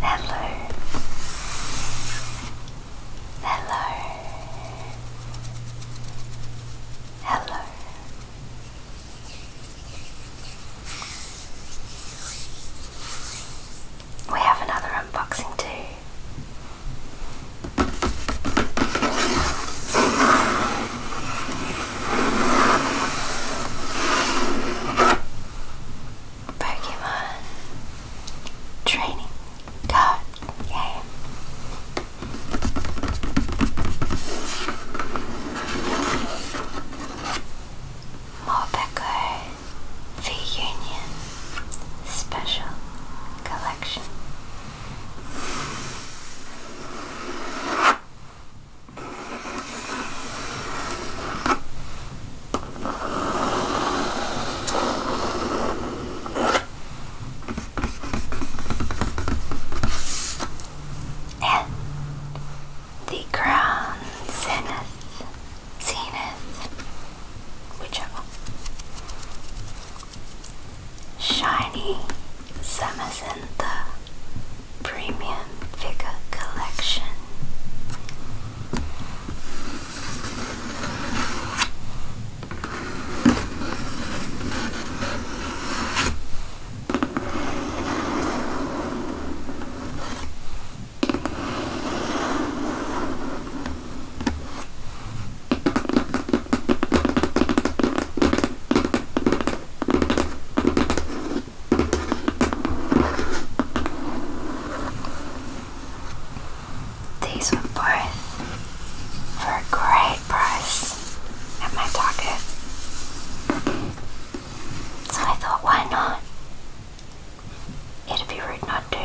Hello. Hello. Hello. We have another unboxing too. Pokemon training card game. Morpeko V Union Special Collection. And the crown zenith, zenith, whichever Shiny Zamazenta Premium Figure Collection. These were both for a great price at my Target. So I thought, why not? It'd be rude not to.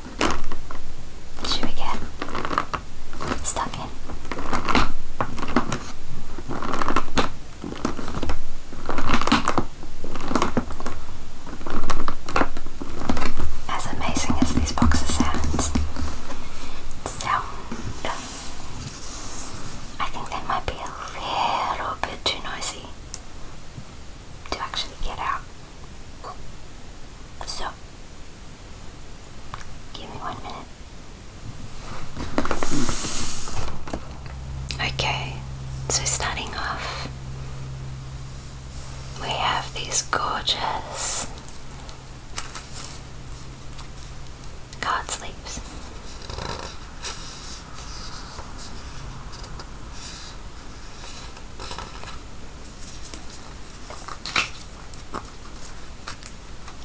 Should we get stuck in? As amazing as these boxes sounds sound, I think they might be a little bit too noisy to actually get out. So, give me one minute. Okay, so starting off, we have these gorgeous card sleeves.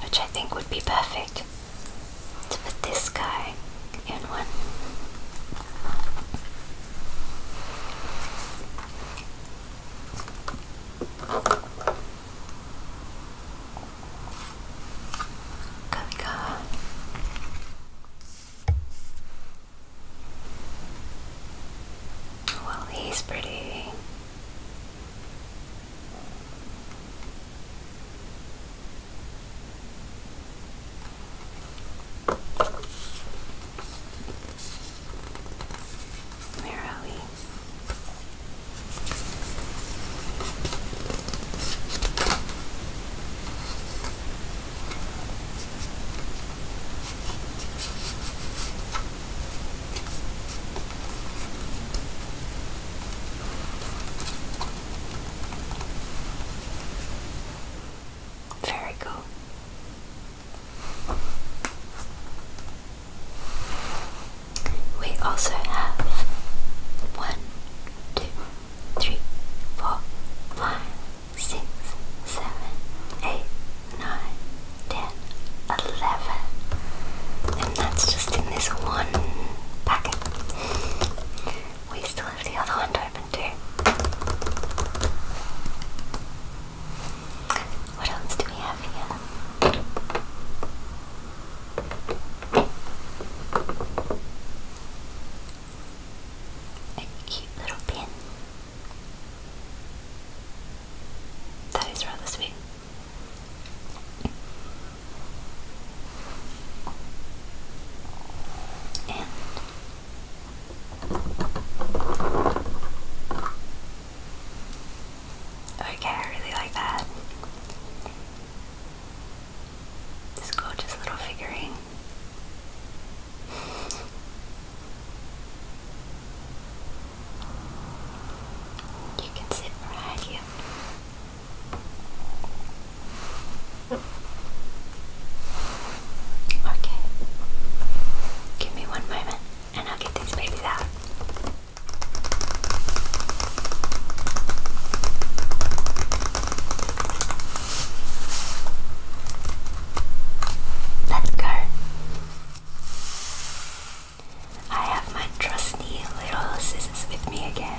Which I think would be perfect to this guy in one. There we go. Well, he's pretty. Where we? Very cool. We also have one, two, three, four, five, six, seven, eight, nine, ten, eleven. And that's just in this one packet. We still have the other one open too. What else do we have here? A cute little pin. That is rather sweet. Okay, I really like that. This gorgeous little figurine. You can sit right here. Okay. Give me one moment and I'll get these babies out. Let go. I have my trusty little scissors with me again.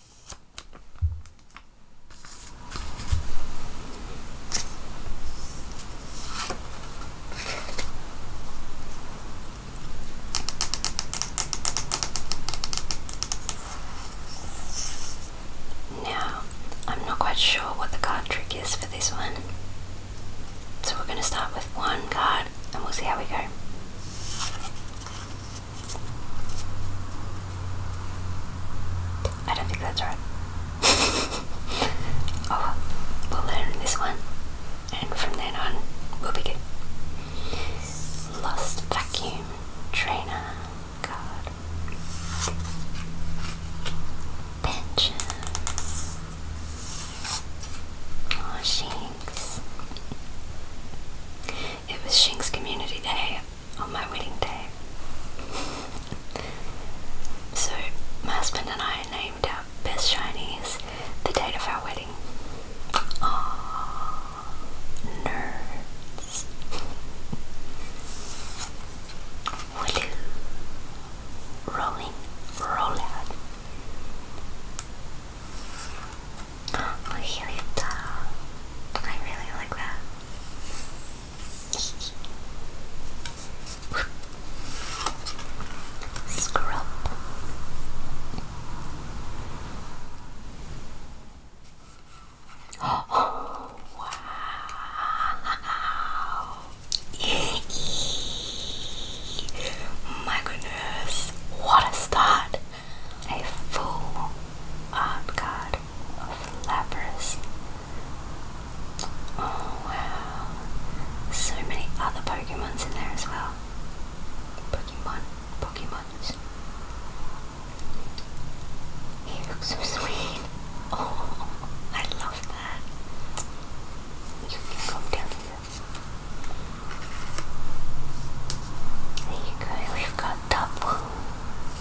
Now, I'm not quite sure what the card trick is for this one. So we're going to start with one card and we'll see how we go. I don't think that's right. oh, we'll learn this one, and from then on, we'll be good. Lost vacuum trainer card. Pension. Oh, it was Shing's Community Day on my wedding day. so, my husband and I named our best Chinese the date of our wedding. Aww, nerds. Willy. Rolling, roll Oh, I really like that. Scrub. wow. My goodness. what a start! a full mob god of lepers. Oh wow, so many other Pokemons in there as well. Pokemon, Pokemons. He looks so sweet. Oh, I love that. You can come down here. There you go, we've got top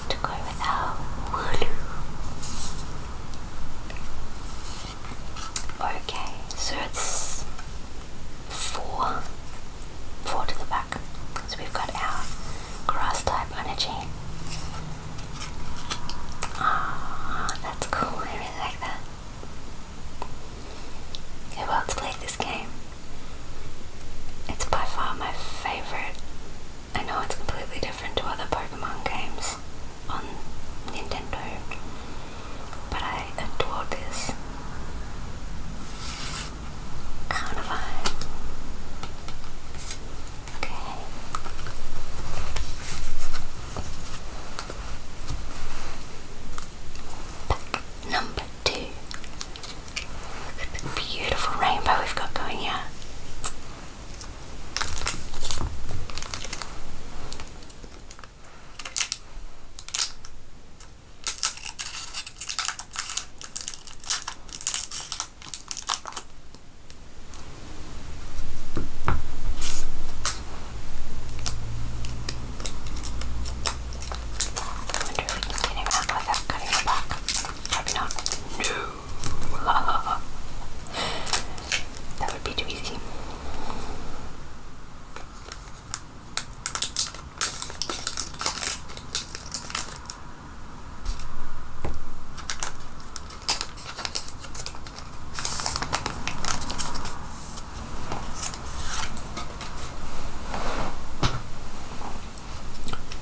to go with our Okay, so it's four, four to the back. So we've got our cross type energy. Ah, that's cool, I really like that. Who else played this game. It's by far my favorite. I know it's completely different to other Pokemon games on Nintendo, but I adore this. Carnivine. Okay. Pack number two. Look at the beautiful rainbow we've got going here. I wonder if we can get him out without cutting the back. Probably not. No! that would be too easy.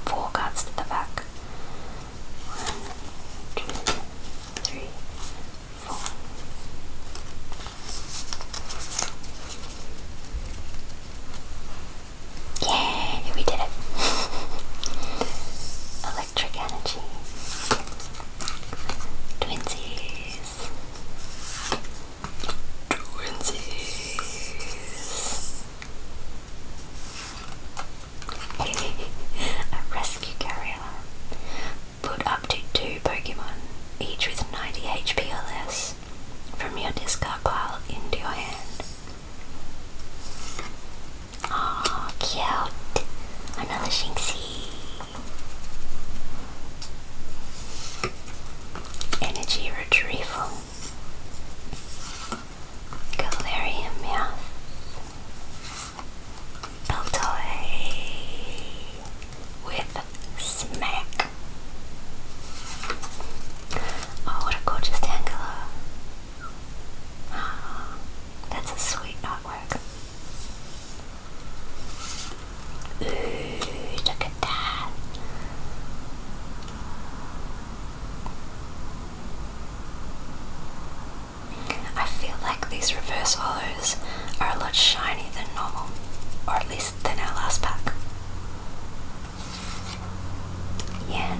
Four cards to the back. One, two, three, four. Yay, we did it! Electric energy. Twinsies. Twinsies. A rescue carrier. Put up to two Pokemon, each with 90 HP or less, from your discard pile into your hand. Aw, cute. Another Shinxie. Energy retrieval. Galarian Meowth, Beltoy with Smack. Oh, what a gorgeous Tangela. Oh, that's a sweet artwork. Ooh, look at that. I feel like these reverse hollows are a lot shinier than normal, or at least than our last pack. Yan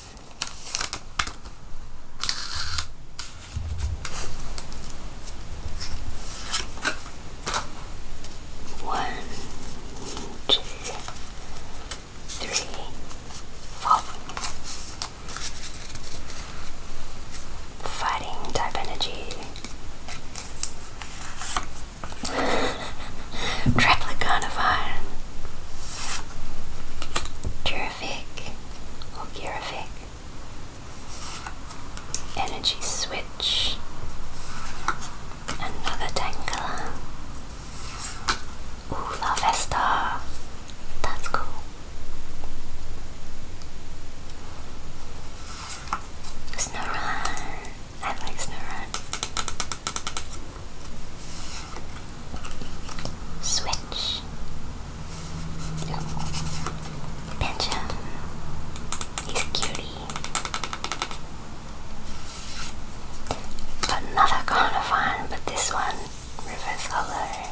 One, two, three, four. Fighting type energy. Triplicon Terrific. Look, you're Energy switch. Another Tangela. Ooh, La Vesta. That's cool. Snow Run. I like Snow Run. Switch. Ooh. He's cutie. Another Carnivon, but this one reverse hollow.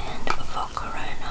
And Volcarona.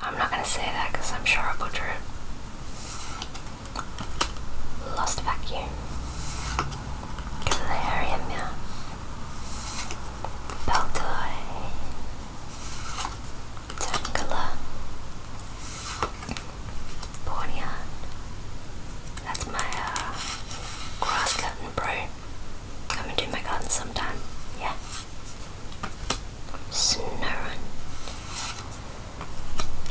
I'm not gonna say that because I'm sure i butchered it. Lost vacuum. Galarian yeah. Beltoy. Tangela. Borneon. That's my uh, grass garden bro. Come and do my garden sometime. Yeah. Snurren,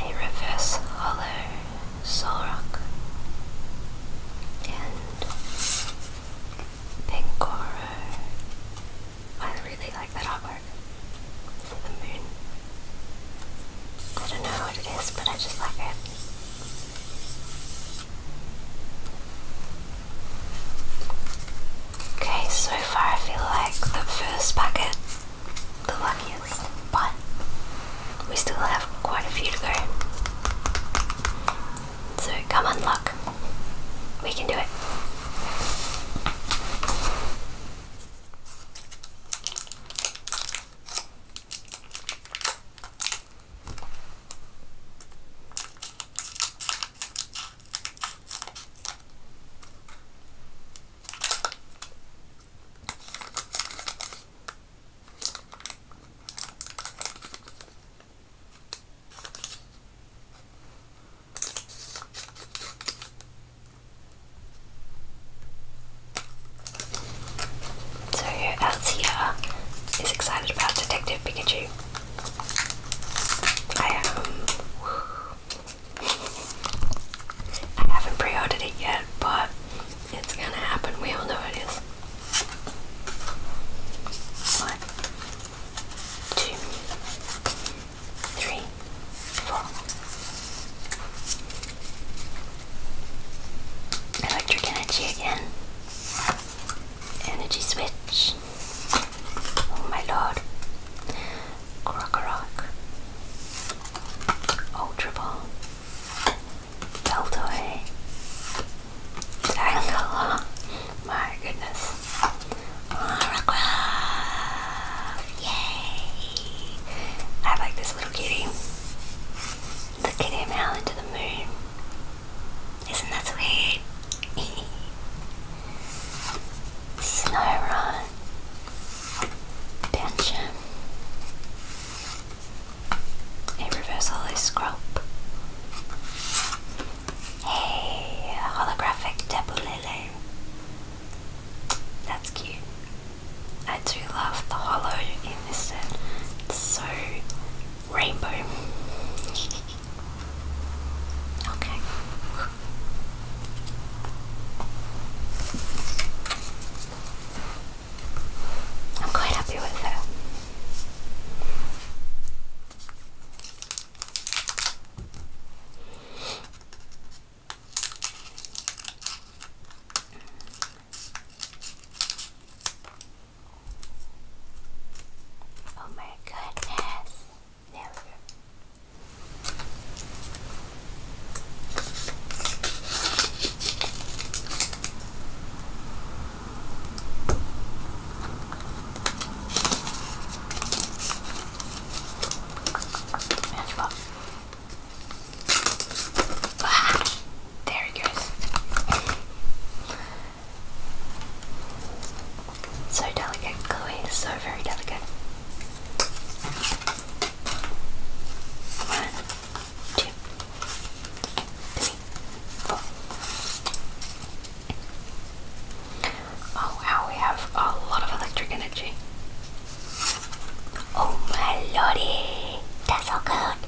a reverse hollow Solrock, and Pinkoro. I really like that artwork the moon. I don't know what it is, but I just like it. Okay, so far I feel like the first packet, the luckiest, but we still have quite a few to go. So come on, luck. We can do it. So who else here is excited about Detective Pikachu? I am. I haven't pre-ordered it yet, but it's gonna happen. We all know it is. One, two, three, four. Electric energy again. Energy switch. Oh my lord. Krokorok. Ultra Ball. Deltoy. My goodness. Maragraph. Yay! I like this little kitty. The kitty meow into the moon. Isn't that sweet? Slow run. A reverse holoscope. a holographic tabulele. That's cute. I do love the hollow in this set. It's so rainbow. Okay. I'm quite happy with it. Oh my goodness. There we go. And what? Ah, there it goes. So delicate, Chloe so very delicate. One, two, three, four. Oh wow, we have a lot of electric energy. Oh my lordy, that's so good.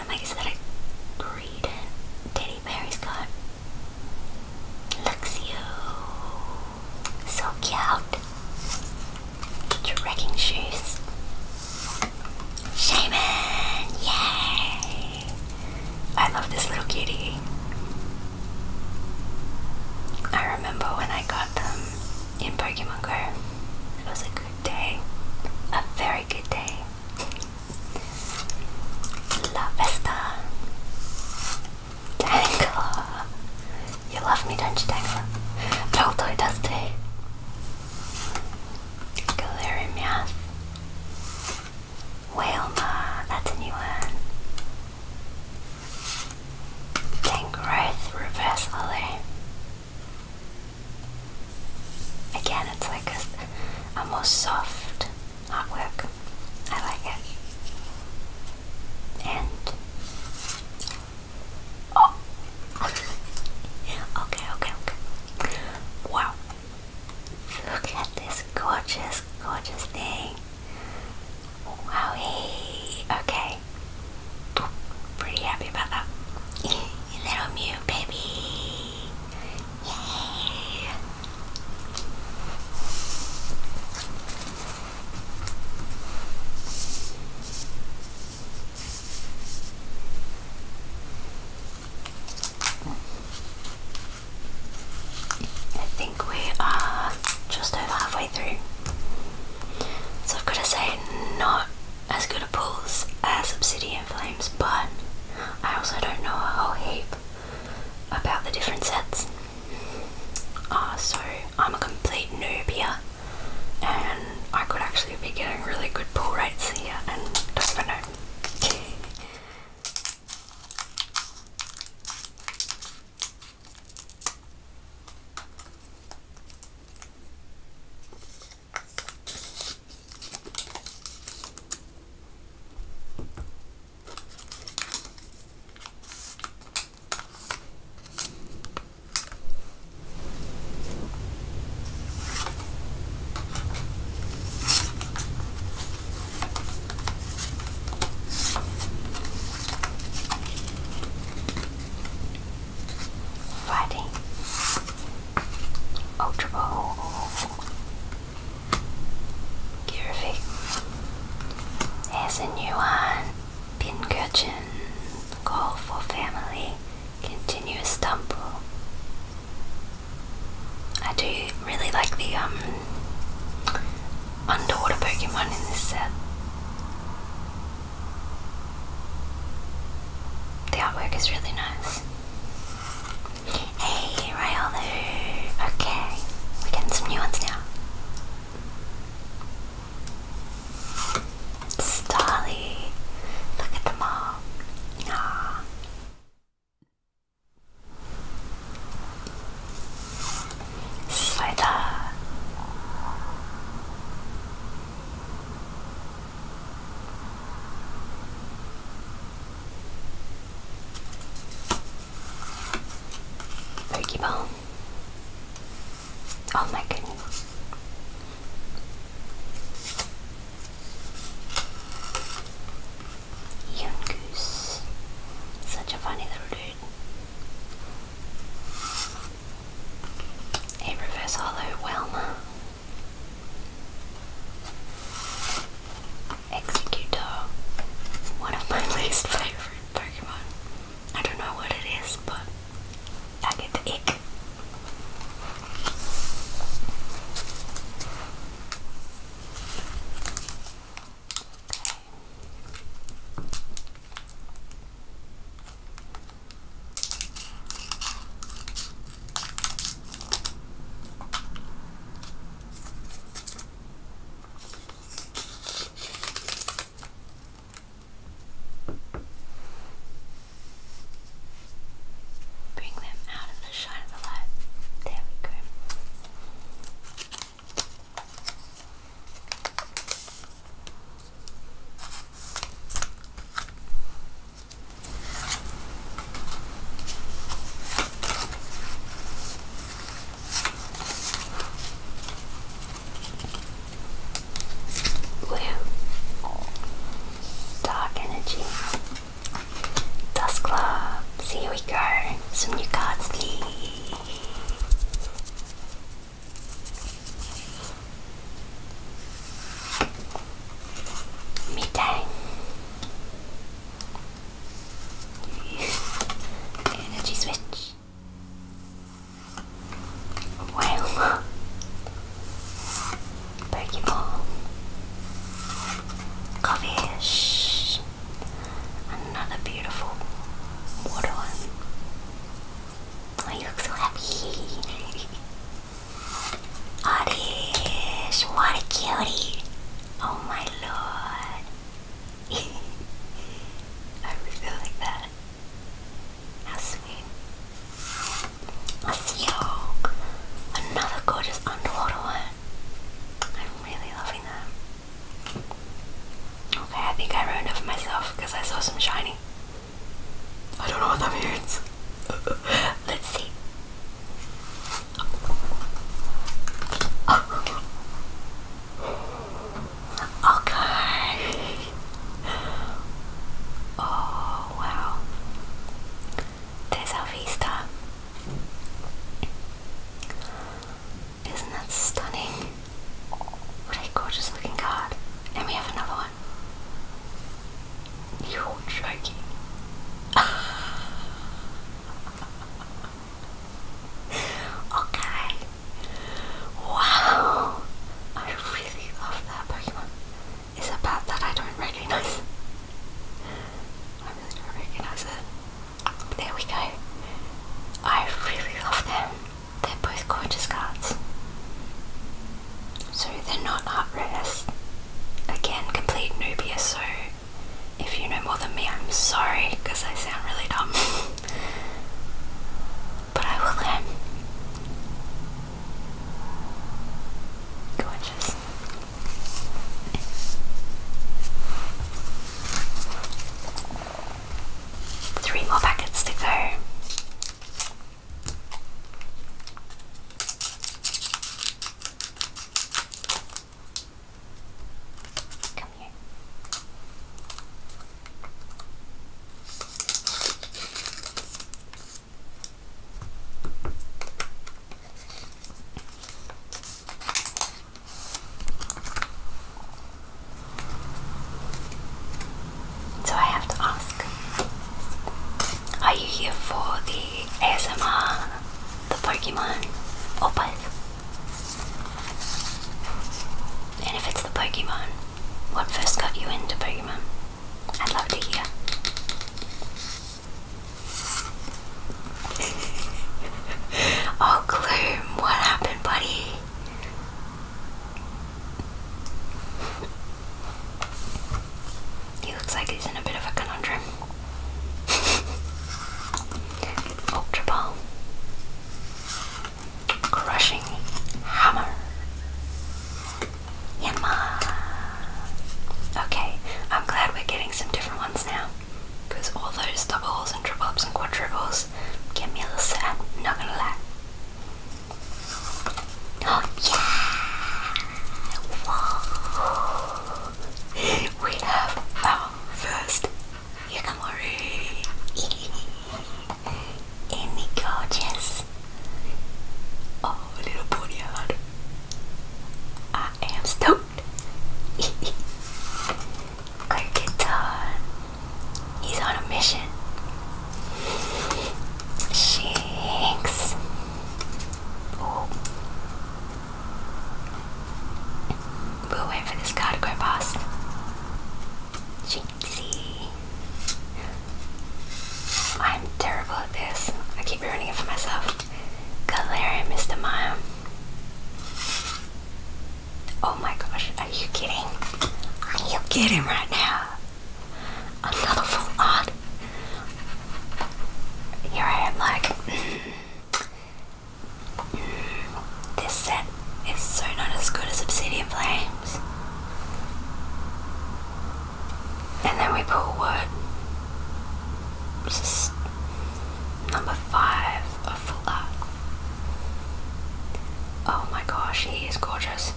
am like, is that a teddy bear he's Luxio. So cute. Get shoes. Shaman! Yay! I love this little cutie. I remember when I got them um, in Pokemon Go. It was a good day. A very good day. La Vesta. Dangler! You love me, don't you, Dangler? Totally does too. Galerimath. Whalema, that's a new one. Gangrowth Reverse Lily. Again, it's like a more soft artwork. I like it. And oh, okay, okay, okay. Wow, look at this gorgeous, gorgeous thing. Wowie. Okay, pretty happy about that. Little Mew, baby. Yay! I think we are just over halfway through. So I've got to say, not as good a pulls as Obsidian Flames, but I also don't know a whole heap about the different sets. Uh, so I'm a complete noob here, and I could actually be getting really good pull rates here, and don't know. Fighting Ultra Ball Kirvik as a new one. Pinkirchen, call for family, continuous stumble. I do really like the um underwater Pokemon in this set. The artwork is really nice. Hey, Okay, we're getting some new ones now. Starly. Look at them all. Aww. Slither. Pokeball. Oh my goodness. Young Goose. Such a funny little dude. A reverse hollow Welma. Executor, one of my least favorite Pokemon. I don't know what it is, but I get the ick. Bring them out in the shine of the light. There we go. Blue. Dark energy. Dust Club. So here we go. Some new cards, please. Midday. Energy switch. Wow. Pokeball. Coffeeish. Another beautiful water one. Oh, you look so happy. Oddish, what a cutie. Oh my lord. I really like that. How sweet. A sea hawk. Another gorgeous underwater one. I'm really loving that. Okay, I think I ruined it for myself because I saw some shiny. I don't know what that means. Let's see. Okay. Oh wow. There's vista. Isn't that stunning? What a gorgeous looking card. And we have another one. You're joking. Okay. Wow. I really love that Pokemon. It's a that I don't recognise. I really don't recognise it. there we go. I really love them. They're both gorgeous cards. So they're not art Again, complete Nubia, so if you know more than me, I'm sorry because I sound really dumb. but I will um, Gorgeous. Three more packets to go. So I have to ask, are you here for the ASMR, the Pokemon, or both? And if it's the Pokemon, what first got you into Pokemon? I'd love to hear. oh, Gloom, what happened, buddy? He looks like he's in a bit of a conundrum. Ultra Crushing Hammer. Yanma. Okay, I'm glad we're getting some different ones now. Because all those doubles and triple and quadruples get me a little sad, not gonna lie. Oh yeah! We have our first Yakamori! Amy gorgeous! Oh, a little pony I am stoked! Kirkiton! He's on a mission. Shinx! We'll waiting for this car to go past. Jinxie. I'm terrible at this. I keep ruining it for myself. Galarian Mr. Mime. Oh my gosh, are you kidding? Are you kidding right now? Another full art. Here I am like, this set is so not as good as Obsidian Flames. And then we pull what? Just number five of Full Art. Oh my gosh, he is gorgeous.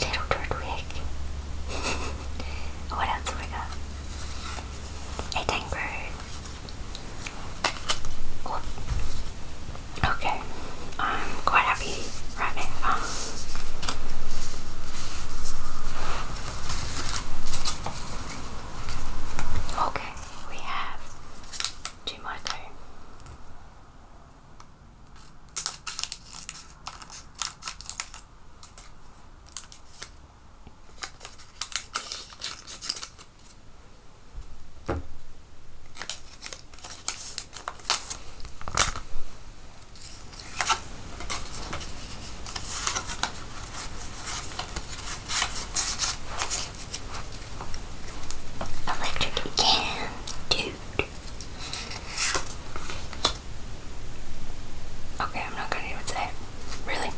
Little Dudwig. what else do we got? A Tango. Okay, I'm quite happy right now. Okay, we have two more time. Electric dude. Okay, I'm not gonna even say it. Really?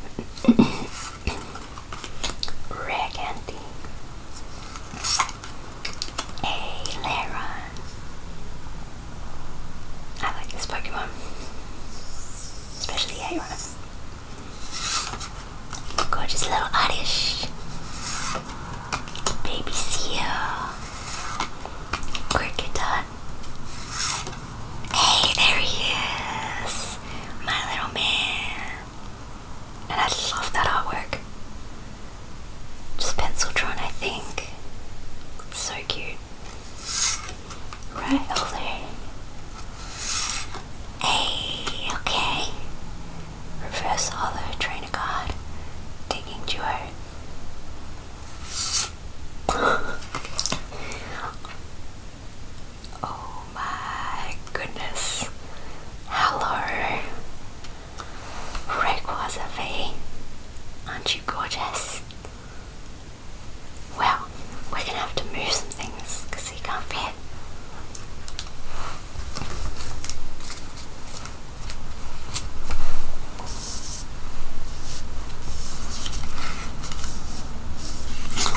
Regandy, Aileron. I like this Pokemon, especially Aileron. Gorgeous little Oddish, Baby Seal, Cricketot. Hey, there he my little man. And I love that artwork. Just pencil drawn, I think. So cute. Right over there. Hey, okay. Reverse hollow trainer card. Taking joy. Oh my goodness. Hello. Rekwasavi. Aren't you gorgeous? Well, we're gonna have to move some things he can't fit.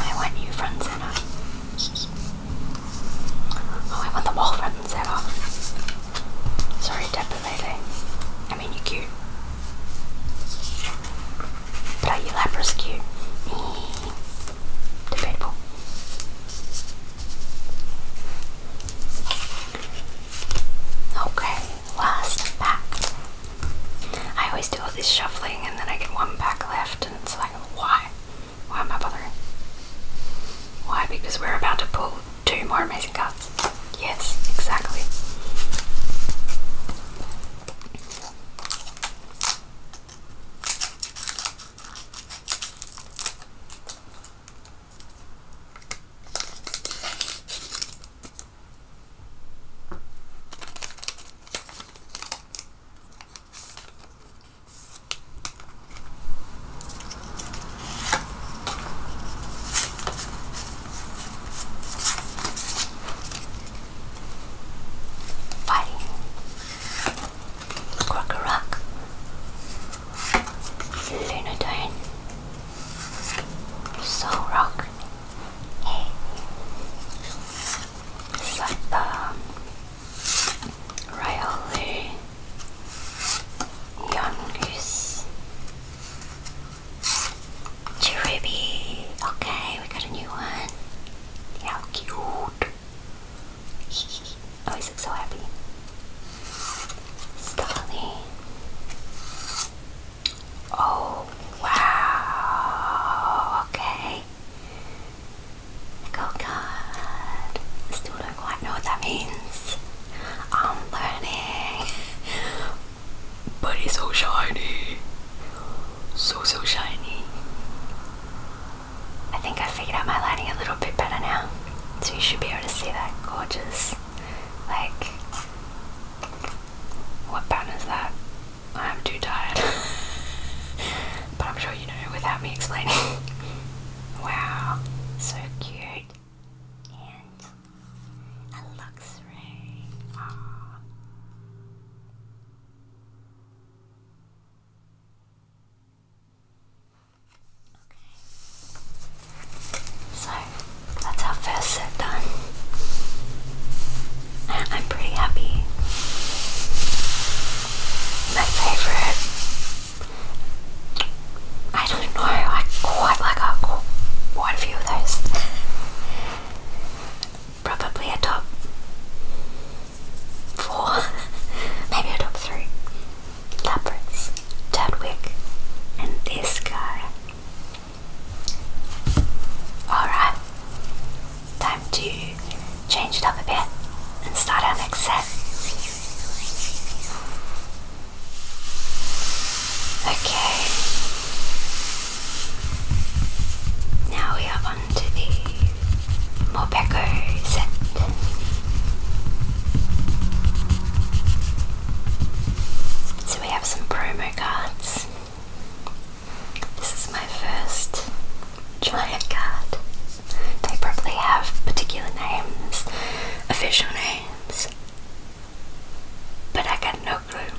I want you front Oh, I want the wall front and center. Sorry, Tapalele. I mean, you're cute. But are you Lapras cute? Debatable. Okay, last pack. I always do all this shuffling and then I get one pack left and it's like, why? Why am I bothering? Why? Because we're about to pull two more amazing cards. Yes, exactly. Fighting Crocorock Lunodine Soul Rock Hey It's like Rayolu, Yongoose, Cherubi. Okay, we got a new one. How cute! oh, he's so happy. Starly. Oh wow! Okay, Go oh God. Still don't quite know what that means. I'm learning. But it's so shiny. So, so shiny. I think I figured out my lighting a little bit better now. So you should be able to see that gorgeous, like, what pattern is that? I'm too tired. but I'm sure you know without me explaining. wow, so cute. And a luxury. So that's our first set done. I'm pretty happy my favorite. I don't know, I quite like a, uh, quite a few of those. Probably a top four, maybe a top three. Leopards, Chadwick, and this guy. Alright, time to change it up a bit and start our next set. Okay, now we are on to the Mopeco set. So we have some promo cards. This is my first giant cat. They probably have particular names, official names, but I got no clue.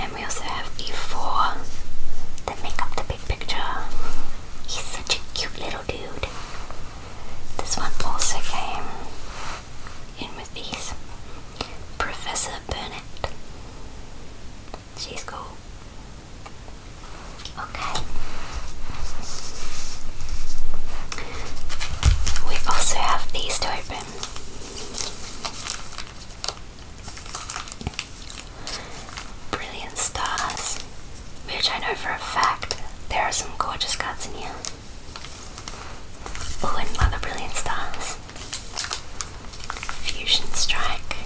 And we also have E4 that make up the big picture. He's such a cute little dude. This one also came in with these. Professor Burnett. She's cool. Okay. We also have these to open. Brilliant stars, which I know for a fact there are some gorgeous cards in here. Oh, and another brilliant stars. Fusion Strike,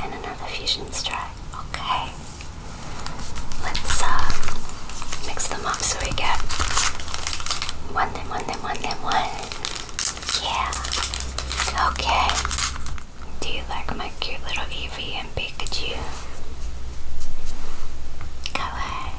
and another fusion strike. Okay. Let's uh, mix them up so we get one, then one, then one, then one. Yeah. Okay. Do you like my cute little Eevee and Pikachu? Go ahead.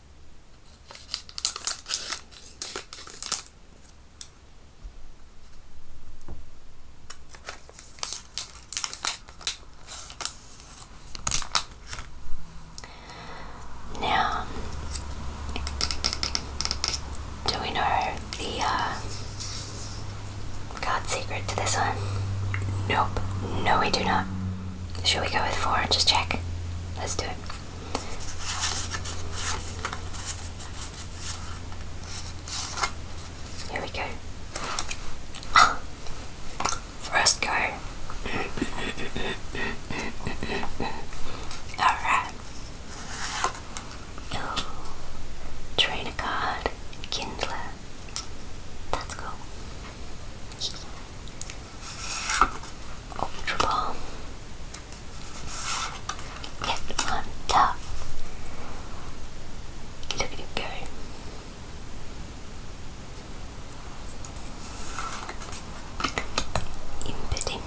Now, do we know the uh, secret to this one? Nope. No, we do not. Should we go with four just check? Let's do it. Here we go. First go. Alright. trainer card, kindler. That's cool. Ultra bomb. Get on top. Look at it go. Impotent.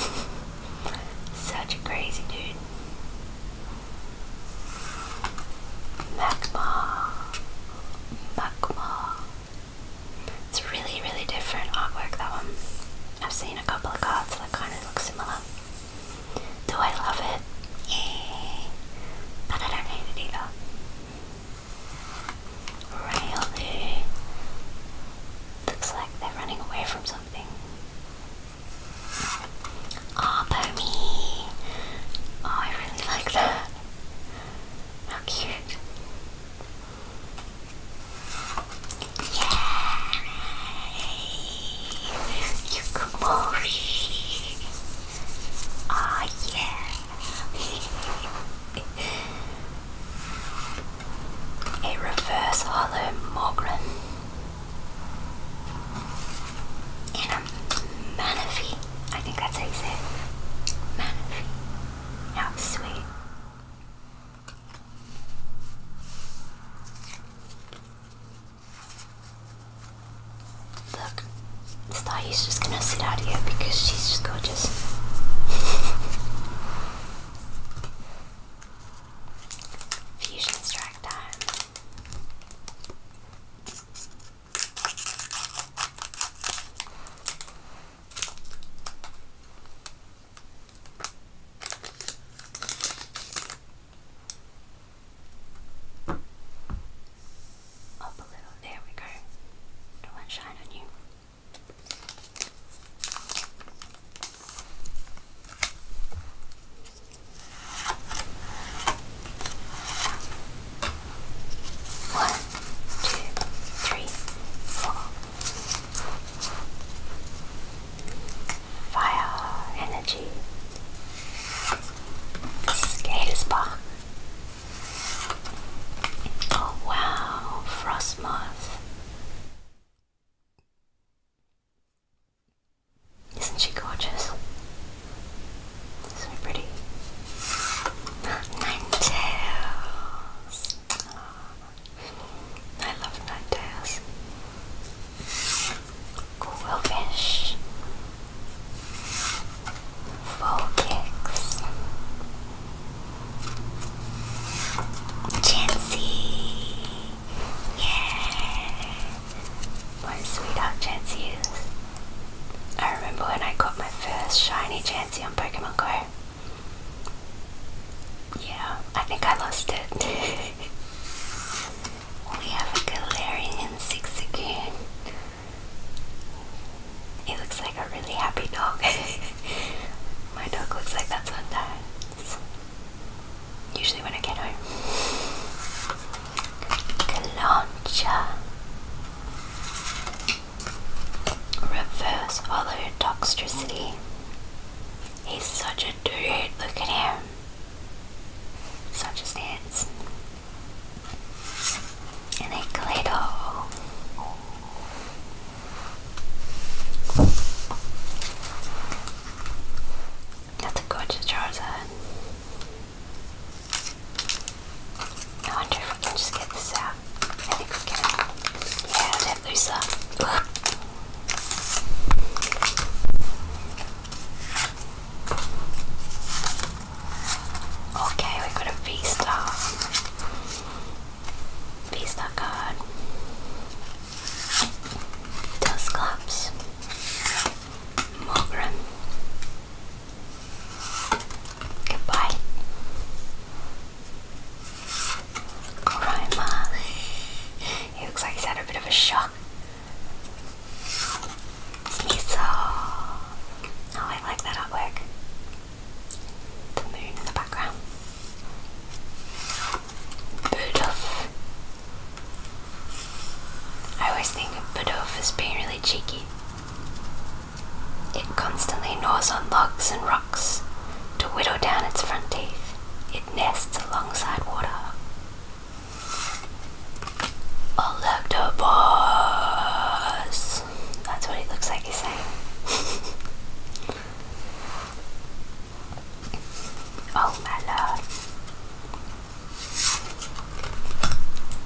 Such a crazy dude. Magma. Magma. It's really, really different artwork that one. I've seen a couple of cards that kind of look similar. Do I love it? Yeah. But I don't hate it Really? Looks like they're running away from something. Oh, Bomi! Oh, I really like that. How cute. Yay! You cook Oh yeah! A reverse hollow Mogren and a Manaphy. I think that's how you say it. How oh, sweet. Look, Stahi's just gonna sit out here because she's just gorgeous. Fusion strike time. Up a little, there we go. Don't want shine on you. One, two, three, four. Fire energy. Scalers Oh wow, Frostmoth. Isn't she gorgeous? So pretty. Nine I love night tails. Quillfish. Full kicks. Chansey! Yeah! My sweetheart Chansey I remember when I got my first shiny Chansey on Pokemon Go. Yeah, I think I lost it. we have a Galarian six It looks like a really happy dog. My dog looks like that sometimes. Usually when I get home. Galancha. Reverse hollow toxicity. He's such a dude, look at him. Such a stance. And a glitter. That's a gorgeous Charizard. I wonder if we can just get this out. I think we can. Hayabusa. Okay, we got a V-Star. V-Star card. Dusclops. Mogrim. Goodbye. Grima. He looks like he's had a bit of a shock. Sneasel. Oh, I like that artwork. The moon in the background. Budov. I always think of Budov as being really cheeky. It constantly gnaws on logs and rocks to whittle down its front teeth. It nests alongside water. Electabuzz! That's what it looks like he's saying. oh my lord.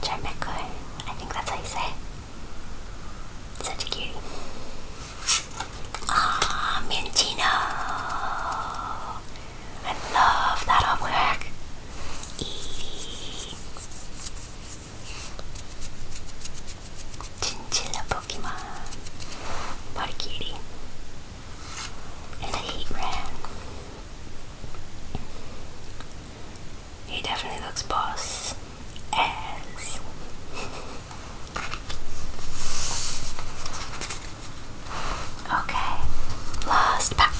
Jameco, I think that's how you say Such a cutie. Ah, oh, I love that artwork. Eee. Chinchilla Pokemon. Body cutie. And the heat He definitely looks boss as Okay, last pack.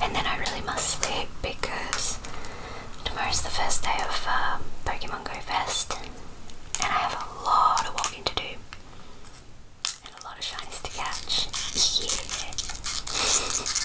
And then I really must sleep because tomorrow is the first day of um, Pokemon Go Fest and I have a lot of walking to do and a lot of shiny's to catch.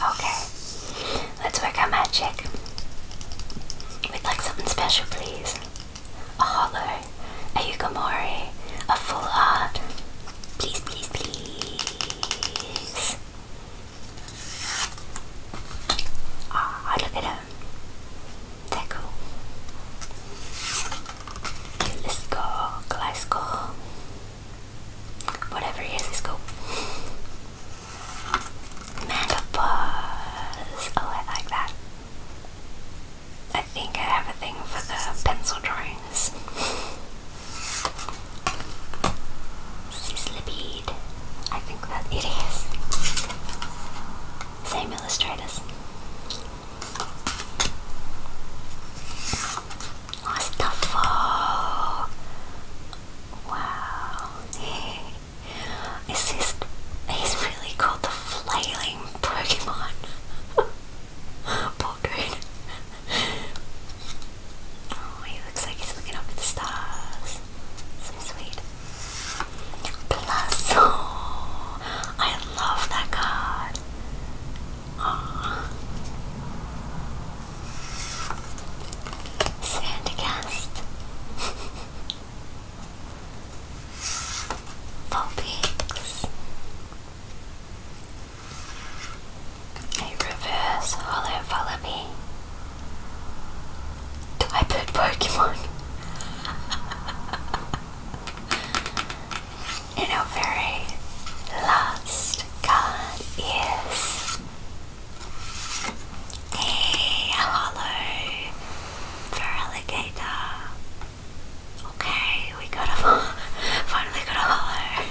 Okay, let's work our magic. We'd like something special, please. A holler, a yugamori, a full art. Please, please, please. Ah, oh, look at him. They're cool. Okay, let Whatever, here's the scope. Mega Buzz. Oh, I like that. I think I have a thing for the pencil drawings. Sizzly I think that it is. Same illustrators. Oh, Wow. Is this he's really called the flailing Pokemon? Baldwin. Oh, he looks like he's looking up at the stars. So sweet. Plus, I love that card. Oh. Sandcast Vulpix A reverse hollow Volibee Do I put Pokemon? and our very last card is a hollow for alligator. Okay, we got a finally got a hollow.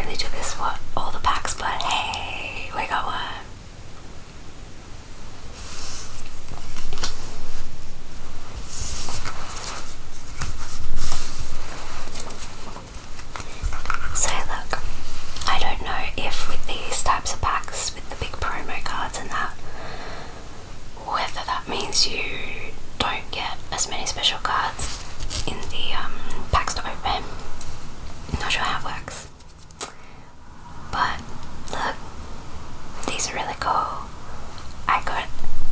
only took us what all the packs, but hey, we got one. So look, I don't know if with these types of packs, with the big promo cards and that, whether that means you don't get as many special cards in the um, packs to open. Not sure how it works. But look, these are really cool. I got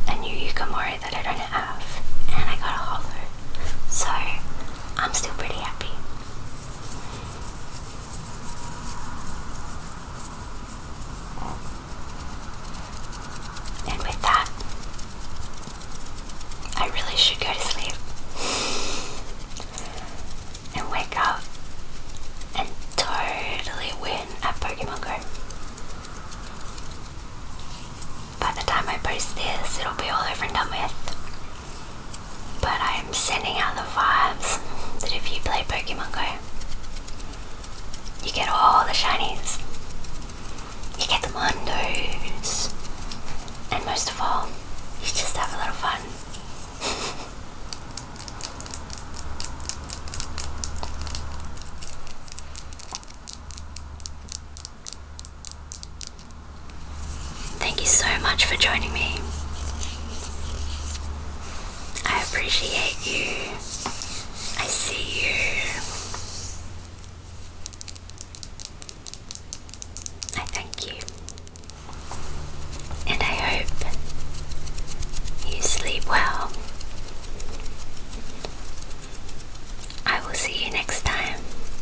a new Yukimori that I don't have, and I got a hollow. So I'm still pretty happy. And with that, I really should go to sleep and wake up and totally win at Pokemon Go by the time I post this, it'll be all over and done with. But I'm sending out the vibes that if you play Pokemon Go, you get all the shinies, you get the Mondos, and most of all, you just have a little fun. Thank you so much for joining me. I appreciate you. I see you. I thank you. And I hope you sleep well. I will see you next time.